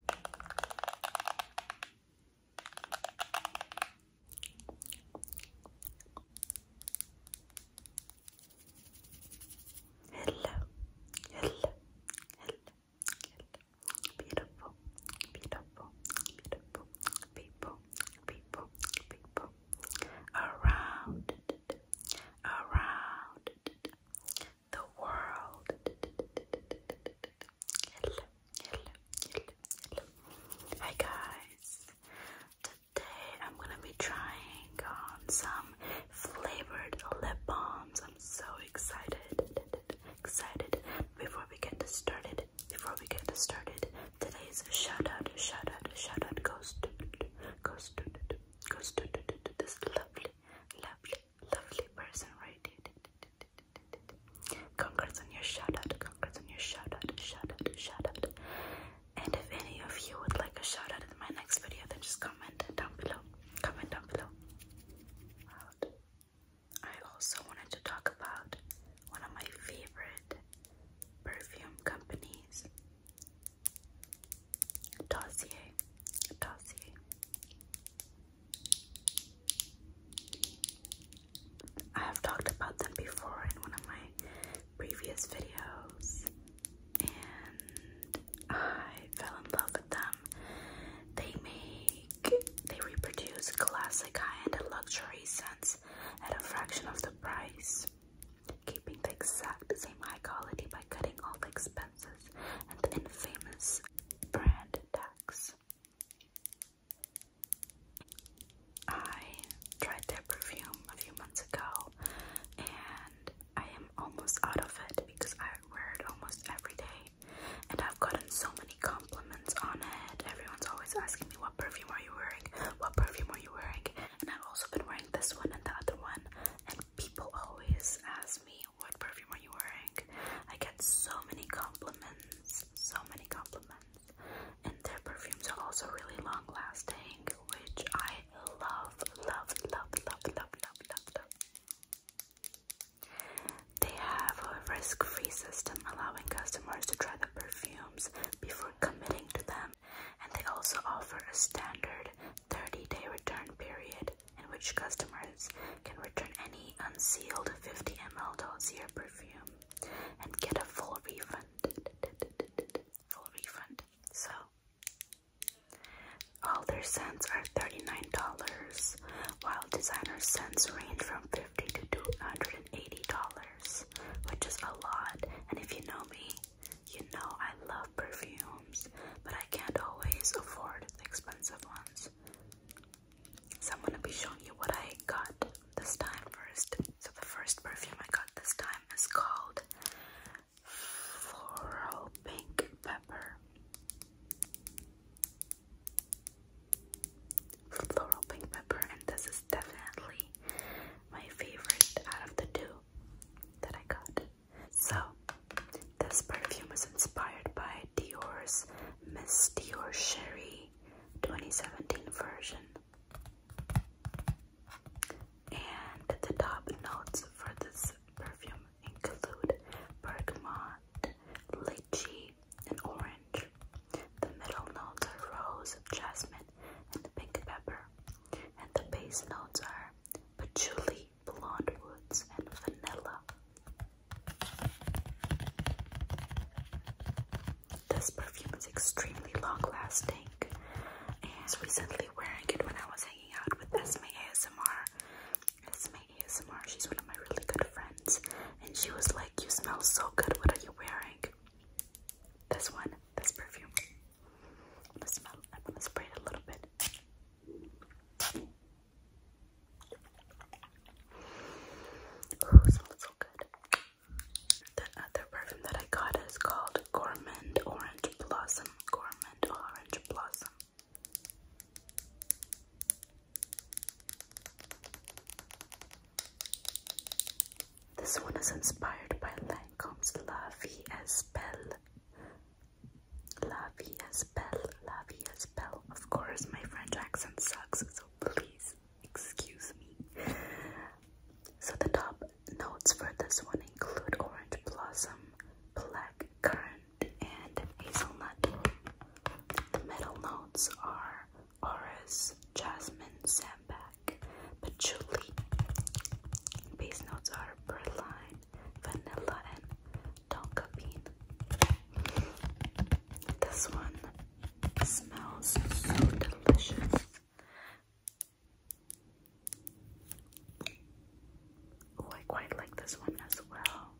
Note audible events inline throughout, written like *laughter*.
Hello, hello, hello, hello. Beautiful, beautiful, beautiful people, people, people around, around the world hello, guys. Today I'm gonna be trying on some flavored lip balms. I'm so excited, excited. Before we get started, before we get started, today's shout out, shout out, shout out goes to, goes to, to this lovely, lovely, Lovely person, right? Congrats on your shout out, congrats on your shout out, shout out, shout out. And if any of you would like a shout out in my next video, then just comment down below. Comment down below. Out. I also wanted to talk about one of my favorite perfume companies, Dossier. Dossier. I have talked about them before in one of my previous videos, and I fell in love with them. They make, they reproduce classic high-end luxury scents at a fraction of the price, keeping the exact same high quality by cutting all the expensive and the infamous brand tax. I tried their perfume a few months ago and I am almost out of it because I wear it almost every day and I've gotten so many compliments on it. Everyone's always asking me what perfume are you wearing? What perfume are you wearing? And I've also been wearing this one and the other one and people always ask me what perfume are you wearing? I get so many compliments, so many compliments. And their perfumes are also really long lasting, which I love, love, love, love, love, love, love, love. They have a risk-free system allowing customers to try the perfumes before committing to them. And they also offer a standard 30-day return period in which customers can return any unsealed 50 ml dossier perfume and get a full refund. Full refund. So, all their scents are $39, while designer scents range from $50 to $280, which is a lot. And if you know me, you know I love perfume but I can't always afford the expensive ones. So I'm gonna be showing you what I got this time first. So the first perfume I got this time is called Floral Pink Pepper. Floral Pink Pepper, and this is definitely my favorite out of the two that I got. So, this perfume is inspired by Dior's Miss Dior Sherry 2017 version. And the top notes for this perfume include bergamot, lychee, and orange. The middle notes are rose, jasmine, and pink pepper. And the base notes are patchouli, blonde woods, and vanilla. This perfume is extremely long lasting. And I was recently wearing it when I was hanging out with Esme ASMR. Esme ASMR, she's one of my really good friends. And she was like, You smell so good, what are you wearing? This one, this perfume. i smell, I'm gonna spray it a little bit. Oh, smells so good. The other perfume that I got is called Gourmand Orange Blossom. Gourmand Orange Blossom. This one is inspired by Lancome's La Vie Belle La Via's Belle, La Of course, my French accent sucks, so please excuse me. So, the top notes for this one include orange blossom, black currant, and hazelnut. The middle notes are orris, jasmine, sandback, patchouli. Base notes are berline, vanilla, and tonka bean. This one smells so delicious. Oh, I quite like this one as well.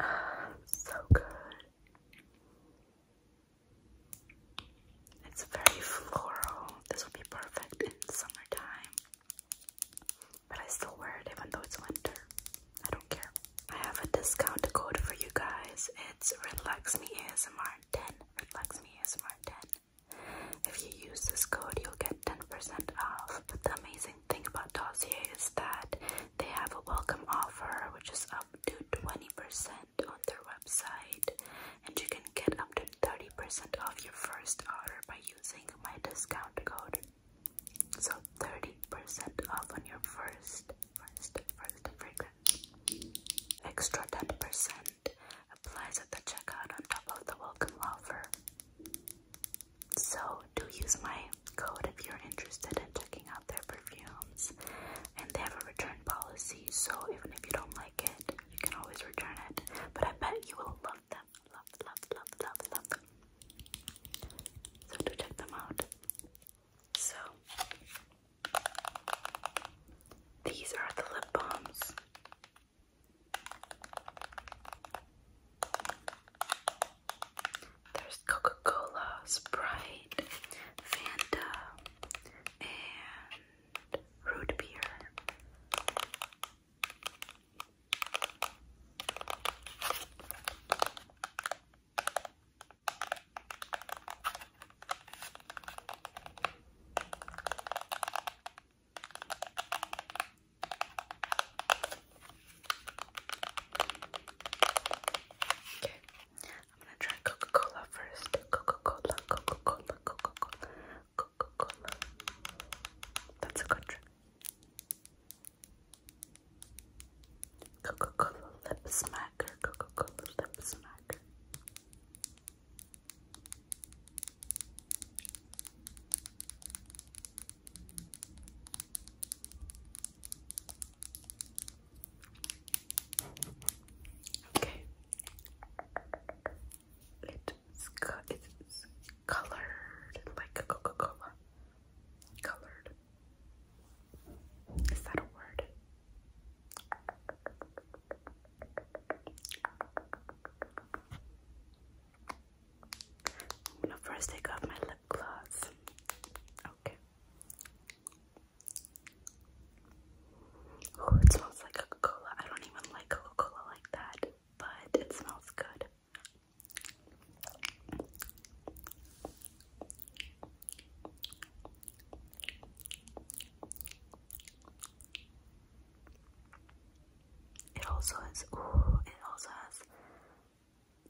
Ah, so good. It's very floral. This will be perfect in summertime. But I still wear it even though it's winter. I don't care. I have a discount code for you guys. It's RelaxMeASMR10. RelaxMeASMR10. If you use this code, you'll get 10% off. But the amazing thing about Dossier is that they have a welcome offer, which is up to 20% on their website and you can get up to 30% off your first order by using my discount code. So 30% off on your first, first, first fragrance. Extra 10% applies at the checkout on top of the welcome offer. So do use my code if you're interested in checking out their perfumes and they have a return policy so even if you don't like it you can always return it but I bet you will love them love love love love love them so do check them out so these are the lip balms there's Coca-Cola, Sprite, Fanta, and root beer. Okay, I'm gonna try Coca-Cola first. Coca-Cola, Coca-Cola, Coca-Cola, Coca-Cola. That's a good trick. Coca-Cola lip smacker, Coca-Cola lip smacker. Okay. It's, it's colored like a Coca-Cola. Colored. Is that a word? I'm gonna first take off my lip gloss. Okay. Oh, it smells like Coca-Cola. I don't even like Coca-Cola like that, but it smells good. It also has ooh, it also has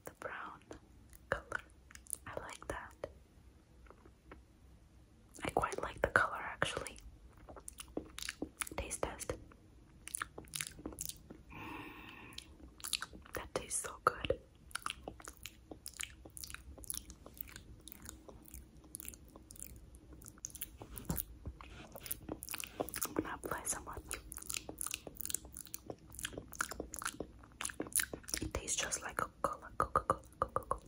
the brown color. I like that. I quite like the color actually. Taste test. that tastes so good. I'm gonna apply some more. It tastes just like Coca-Cola, Coca-Cola, Coca-Cola.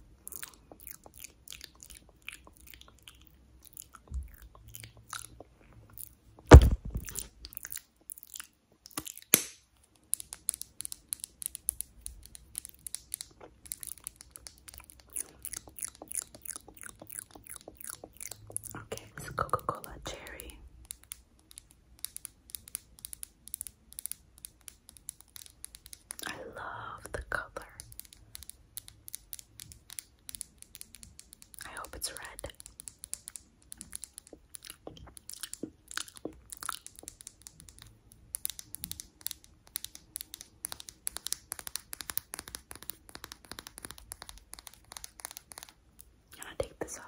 Okay, it's Coca-Cola cherry. I love the color. I hope it's red. And I take this off.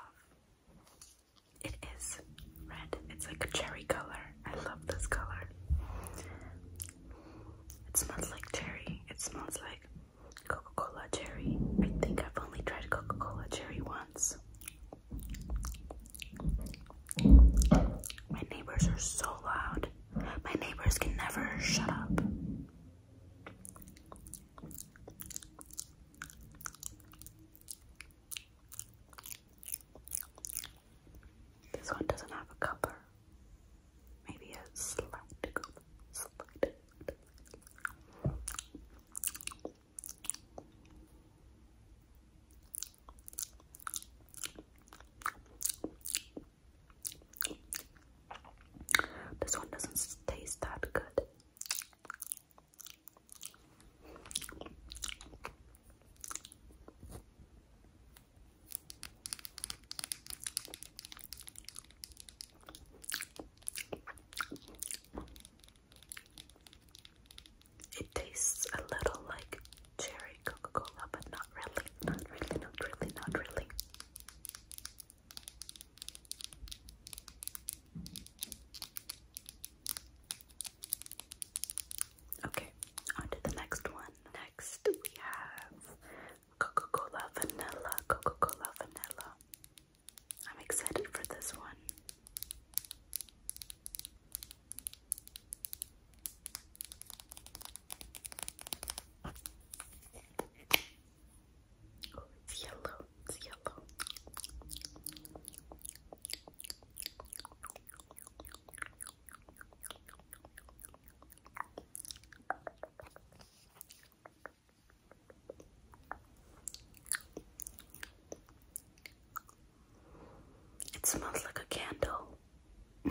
It is red. It's like a cherry color. I love this color. It smells like cherry. It smells like Coca-Cola cherry. I think I've only tried Coca-Cola cherry once. My neighbors are so loud. My neighbors can never shut up. This one doesn't have a cover. Maybe a slight This one doesn't taste that good. It tastes a little like cherry Coca Cola, but not really, not really, not really, not really. Okay, on the next one. Next, we have Coca Cola Vanilla. Coca Cola Vanilla. I'm excited for this one it's yellow. It's yellow. It smells like a candle. *laughs*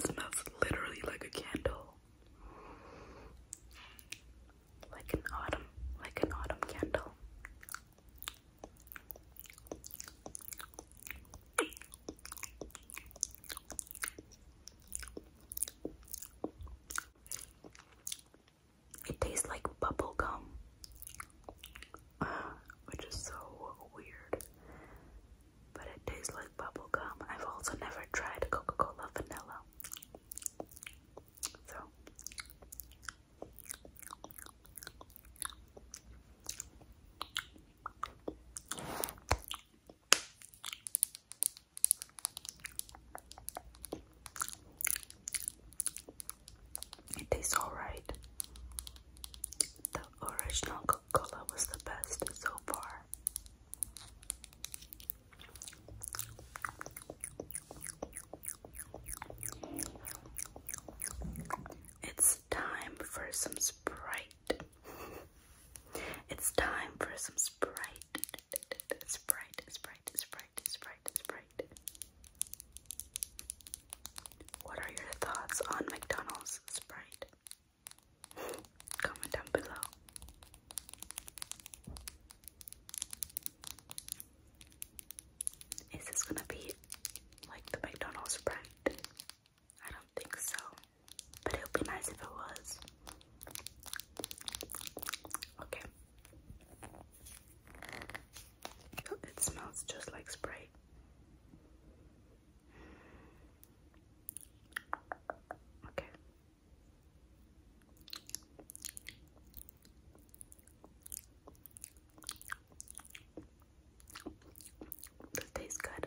smells literally like a candle like an autumn, like an autumn candle. It tastes like bubble gum, *sighs* which is so weird. But it tastes like bubble gum. I've also never tried Coca Cola vanilla. So tastes alright. The original cola was the best so far. It's time for some Sprite. *laughs* it's time for some Sprite. Sprite, Sprite, Sprite, Sprite, Sprite. What are your thoughts on McDonald's Sprite? *laughs* Comment down below. Is this gonna be like the McDonald's brand? I don't think so, but it would be nice if it was. Okay. Oh, it smells just like spray. Okay, this tastes good.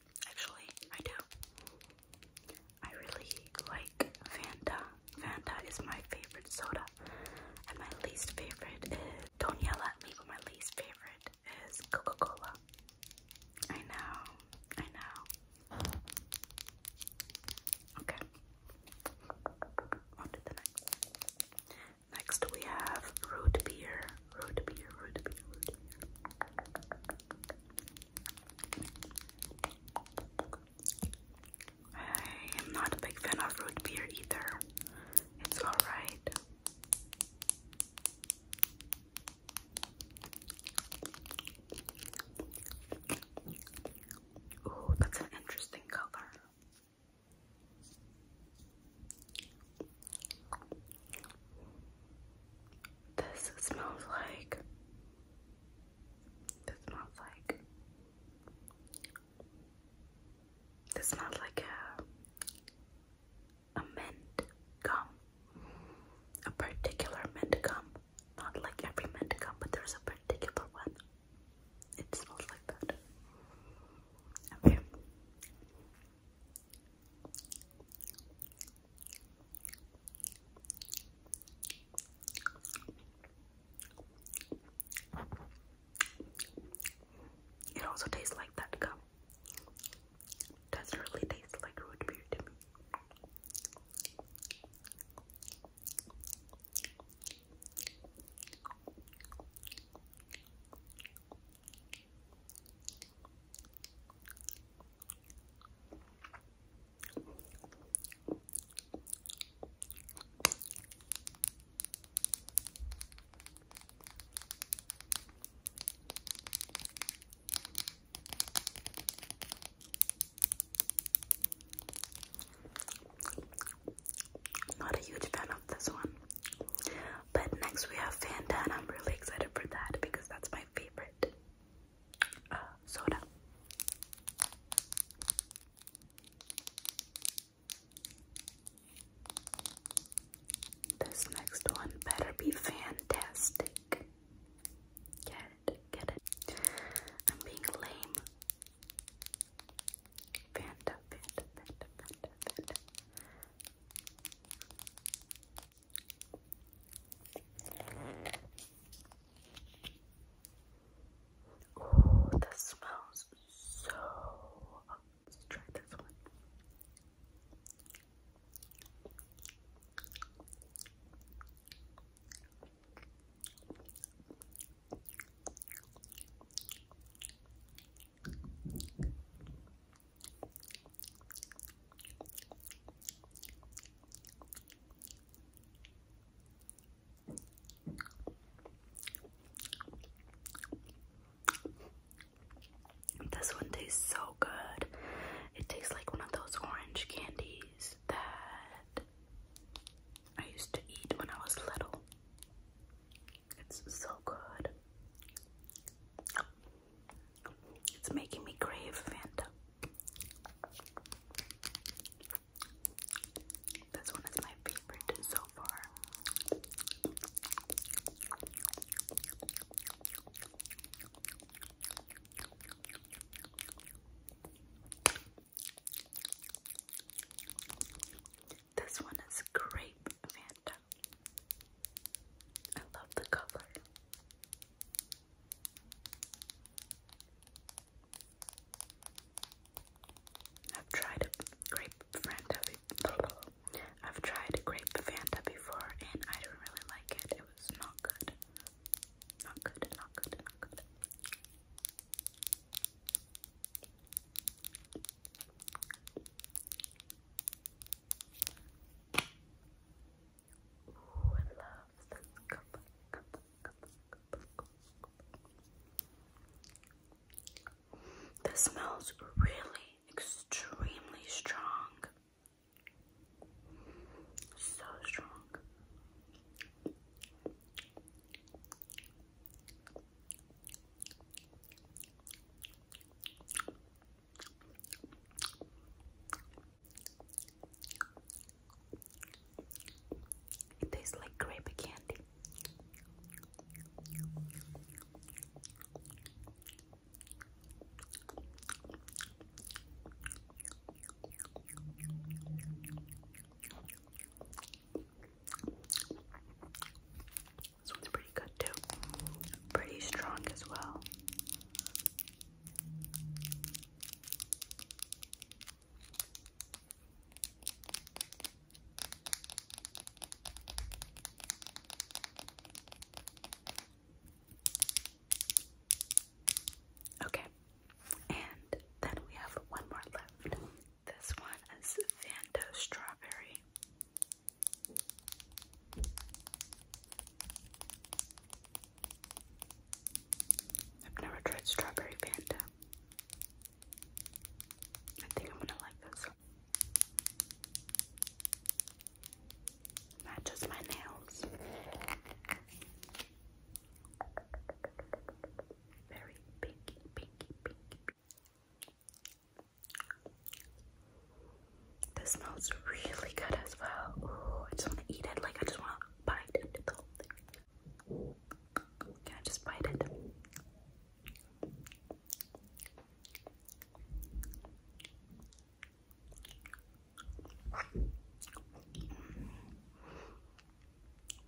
Actually, I do. I really like Fanta. Fanta is my favorite soda. And my least favorite is, don't yell at me, but my least favorite is Coca-Cola. I know, I know. Okay. On to the next. Next we have root beer. Root beer, root beer, root beer. I am not a big fan of root beer either. It's alright. Oh, that's an interesting color. This smells like. This smells like. This smells like a a mint gum, a particular mint gum. Not like every mint gum, but there's a particular one. It smells like that. Okay. It also tastes like that gum. doesn't really taste like root beer to me. Not a huge fan of this one. But next we have Fanta, and I'm really excited for that because that's my favorite soda. This next one better be fantastic. Get it, get it. I'm being lame. Fanta, Fanta, Fanta, Fanta, Fanta. Oh, that smells so. try this one. This one tastes so good. It tastes like one of those orange candies that I used to eat when I was little. It's so good. It's making me crave Fanta. This one is my favorite so far. This one is grape Fanta. I love the color. I've tried grape Fanta I've tried grape Fanta before and I didn't really like it. It was not good. Not good, not good, not good. Ooh, I love the cup, cup, cup, cup, cup. This smells really extremely strong. So strong. It tastes like grape candy. This one's pretty good too. Pretty strong as well. Okay, and then we have one more left. This one is Fanta Strawberry. I've never tried strawberry panda. I think I'm gonna like this. Matches my nails. Very pinky, pinky, pinky. This smells really good as well. Ooh, I just want to eat it. Like, I just want to bite into the Can I just bite it?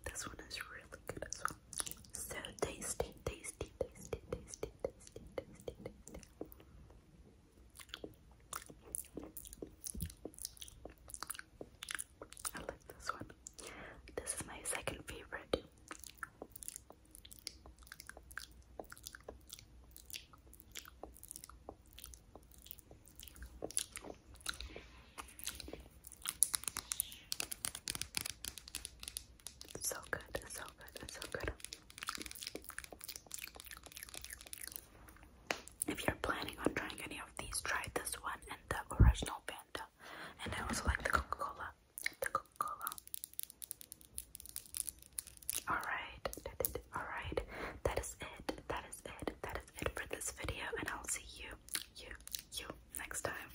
This one is really good as well. So tasty, tasty, tasty, tasty, tasty, tasty, tasty. I like this one. This is my second favorite. So good, so good, so good. If you're planning on trying any of these, try this one and the original panda. And I also like the Coca-Cola. The Coca-Cola. Alright, alright. That is it. That is it. That is it for this video. And I'll see you, you, you next time.